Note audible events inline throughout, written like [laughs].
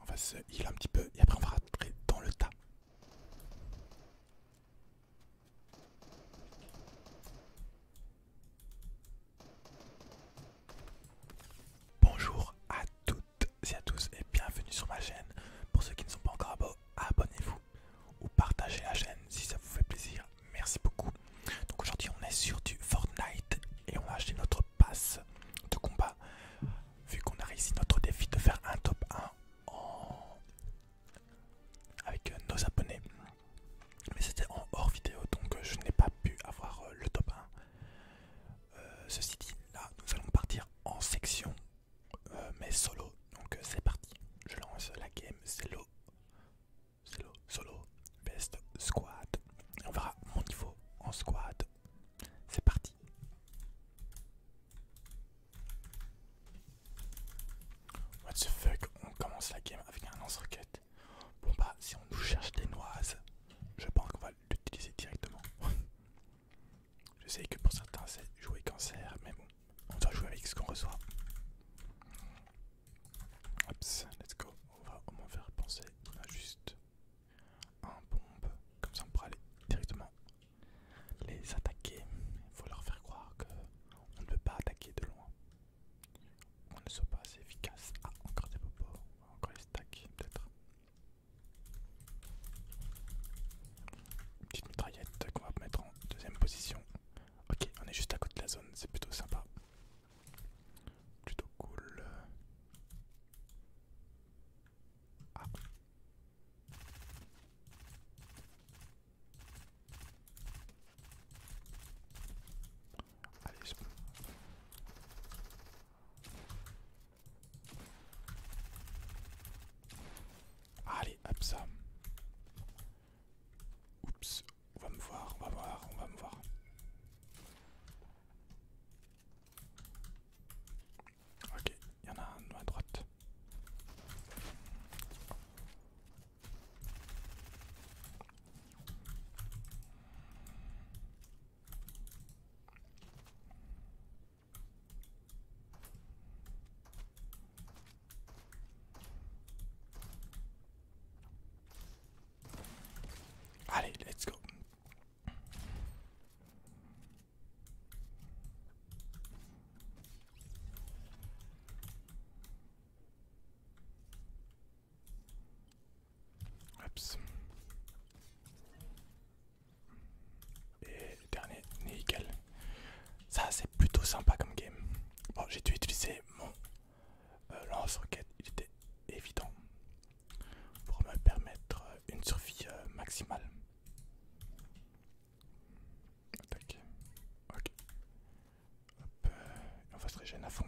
On va se heal un petit peu et après on va rentrer dans le tas. Bonjour à toutes et à tous et bienvenue sur ma chaîne. Pour ceux qui ne sont pas encore abonnez-vous ou partagez la chaîne si ça vous fait plaisir. Merci beaucoup. Donc aujourd'hui on est sur du Fortnite et on va acheter notre passe de combat. Vu qu'on a réussi notre défi de faire un top 1 en... avec nos abonnés. Mais c'était en hors vidéo, donc je n'ai pas pu avoir euh, le top 1. Euh, ceci dit, là, nous allons partir en section, euh, mais solo. Donc c'est parti, je lance la game solo, solo, solo, best squad. on verra mon niveau en squad c'est parti. What the fuck, on commence la game avec un lance-roquette. Bon bah si on nous cherche des noises, je pense qu'on va l'utiliser directement. [laughs] je sais que pour certains c'est jouer cancer, mais bon, on va jouer avec ce qu'on reçoit. Hop, let's go. On va au moins faire penser. à juste en bombe, comme ça on pourra aller directement les attaquer. Il faut leur faire croire que on ne peut pas attaquer de loin. On ne soit pas assez efficace. Ah, encore des popos, encore des stacks peut-être. petite mitraillette qu'on va mettre en deuxième position. Ok, on est juste à côté de la zone, c'est plutôt sympa. Plutôt cool. Ah. Allez, Allez, hop ça. Oups, on va me voir, on va me voir, on va me voir. Ok, il y en a un à droite. Allez, let's go. Et dernier, nickel. Ça c'est plutôt sympa comme game. Bon, j'ai dû utiliser mon euh, lance-roquette, il était évident pour me permettre une survie euh, maximale. Euh, on va se régénérer à fond.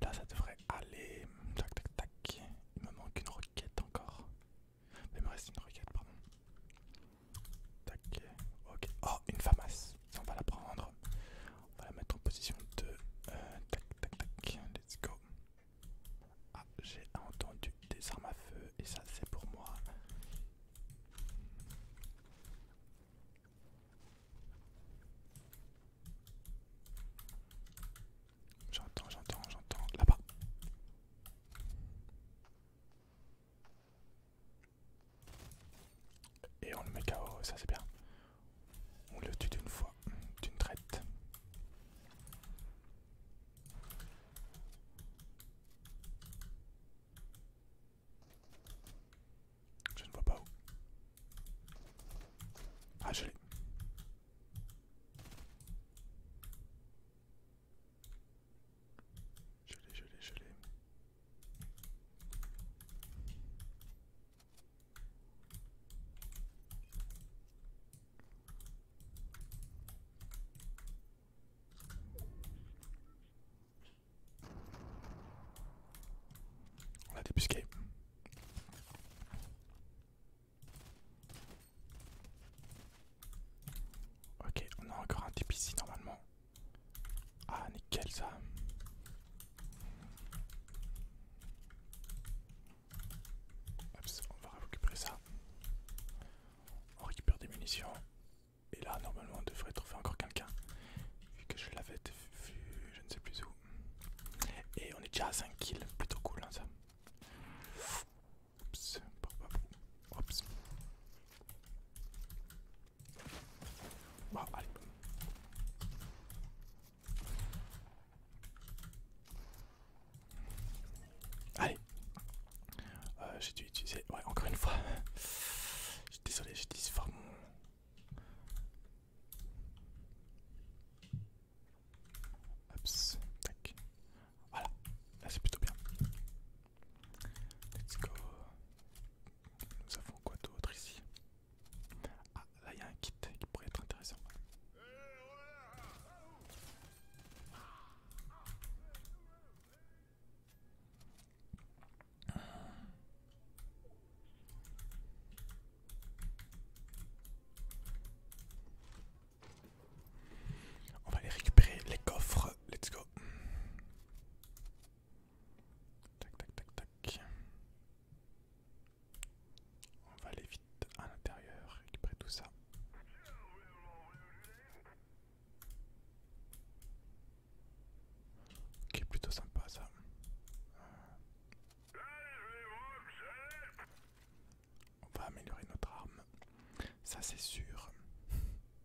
Là, ça devrait aller. Tac, Il me manque une roquette encore. Il me reste une roquette, pardon. Oh, une famasse. On va la prendre. On va la mettre en position de... Euh, tac, tac, tac. Let's go. Ah, j'ai entendu des armes à feu et ça c'est pour moi. J'entends, j'entends, j'entends. Là-bas. Et on le met KO, ça c'est bien. On le tue d'une fois, d'une traite. Je ne vois pas où. Ah, je l'ai. Je l'ai, je l'ai, je l'ai. On a débusqué. Ok, on a encore un type ici normalement. Ah, nickel ça. on va récupérer ça. On récupère des munitions. Et là, normalement, on devrait trouver encore quelqu'un. Vu que je l'avais vu, je ne sais plus où. Et on est déjà à 5 kills. Plutôt cool, hein, ça. Oups. Bah, allez. Euh, j'ai dû utiliser... Ouais, encore une fois. Désolé, j'ai dû forme. Oops, tac. Voilà, là c'est plutôt bien. Let's go. Nous avons quoi d'autre ici Ah, là il y a un kit qui pourrait être intéressant. On va aller récupérer les coffres, let's go. Tac, tac, tac, tac. On va aller vite à l'intérieur, récupérer tout ça. est plutôt sympa ça. On va améliorer notre arme, ça c'est sûr.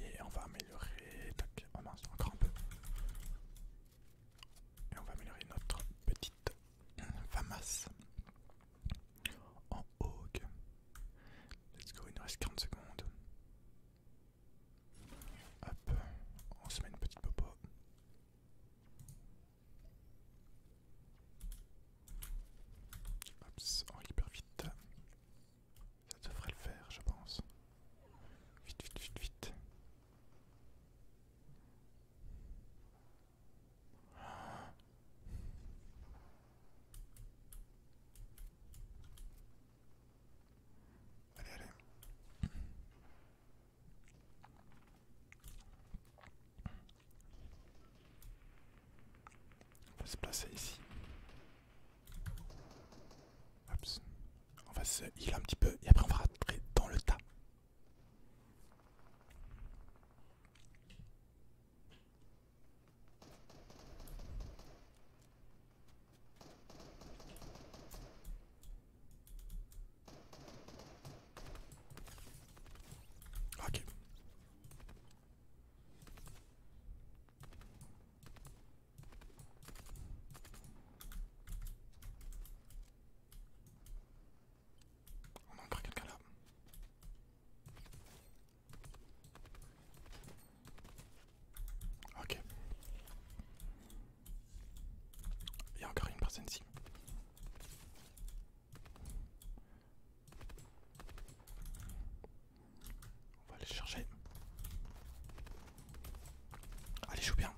Et on va améliorer. on encore un peu. Et on va améliorer notre petite famas en haut. Let's go, il nous reste 40 secondes. Hop, on se met une petite popo. Hops, on récupère vite. Ça devrait le faire, je pense. Vite, vite, vite, vite. Allez, allez. On va se placer ici. On va se heal un petit peu et après on va rentrer dans le tas. Ok. On a encore quelqu'un là. Ok. Il y a encore une personne ici. On va les chercher. Allez, joue bien.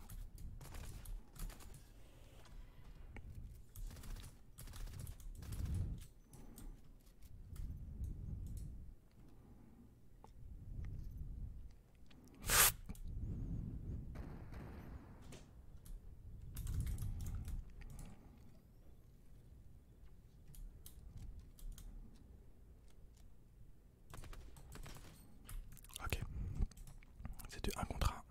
Ok, c'est un contrat.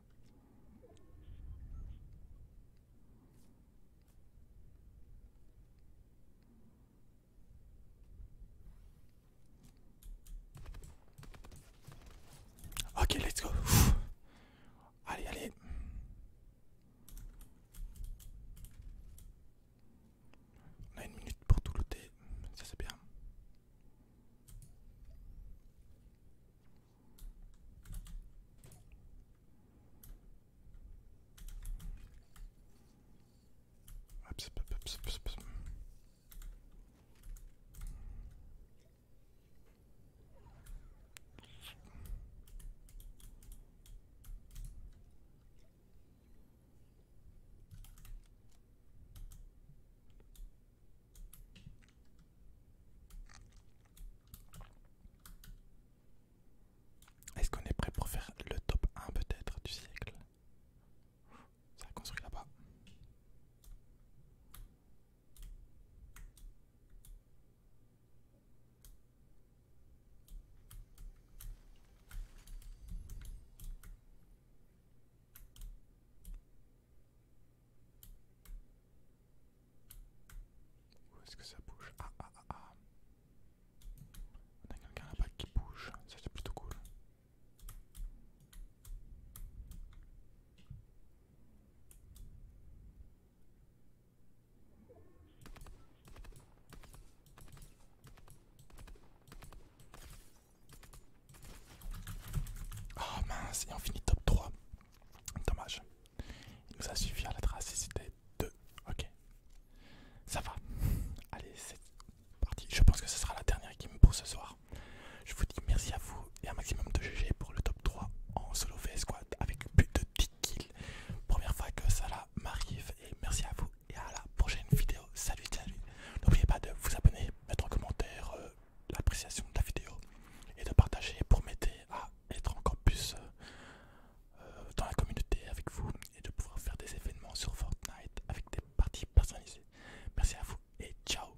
Ok, let's go. Allez, allez. On a une minute pour tout louter. ça c'est bien. Est-ce qu'on est prêt pour faire le top 1 peut-être du siècle Ça a construit là-bas. Où est-ce que ça bouge Ah ah ah ah On a quelqu'un là-bas qui bouge, c'est plutôt cool. Oh mince, et on finit top 3. Dommage. Il nous a suffi à la trace c'était 2. Ok. Ça va. Allez, c'est parti. Je pense que ce sera la dernière me pour ce soir. Je vous dis merci à vous et un maximum de GG pour le top 3 en solo vs squad avec plus de 10 kills. Première fois que ça m'arrive et merci à vous et à la prochaine vidéo. Salut, salut. N'oubliez pas de vous abonner, mettre en commentaire euh, l'appréciation de la vidéo et de partager pour m'aider à être encore plus euh, euh, dans la communauté avec vous et de pouvoir faire des événements sur Fortnite avec des parties personnalisées. Merci à vous et ciao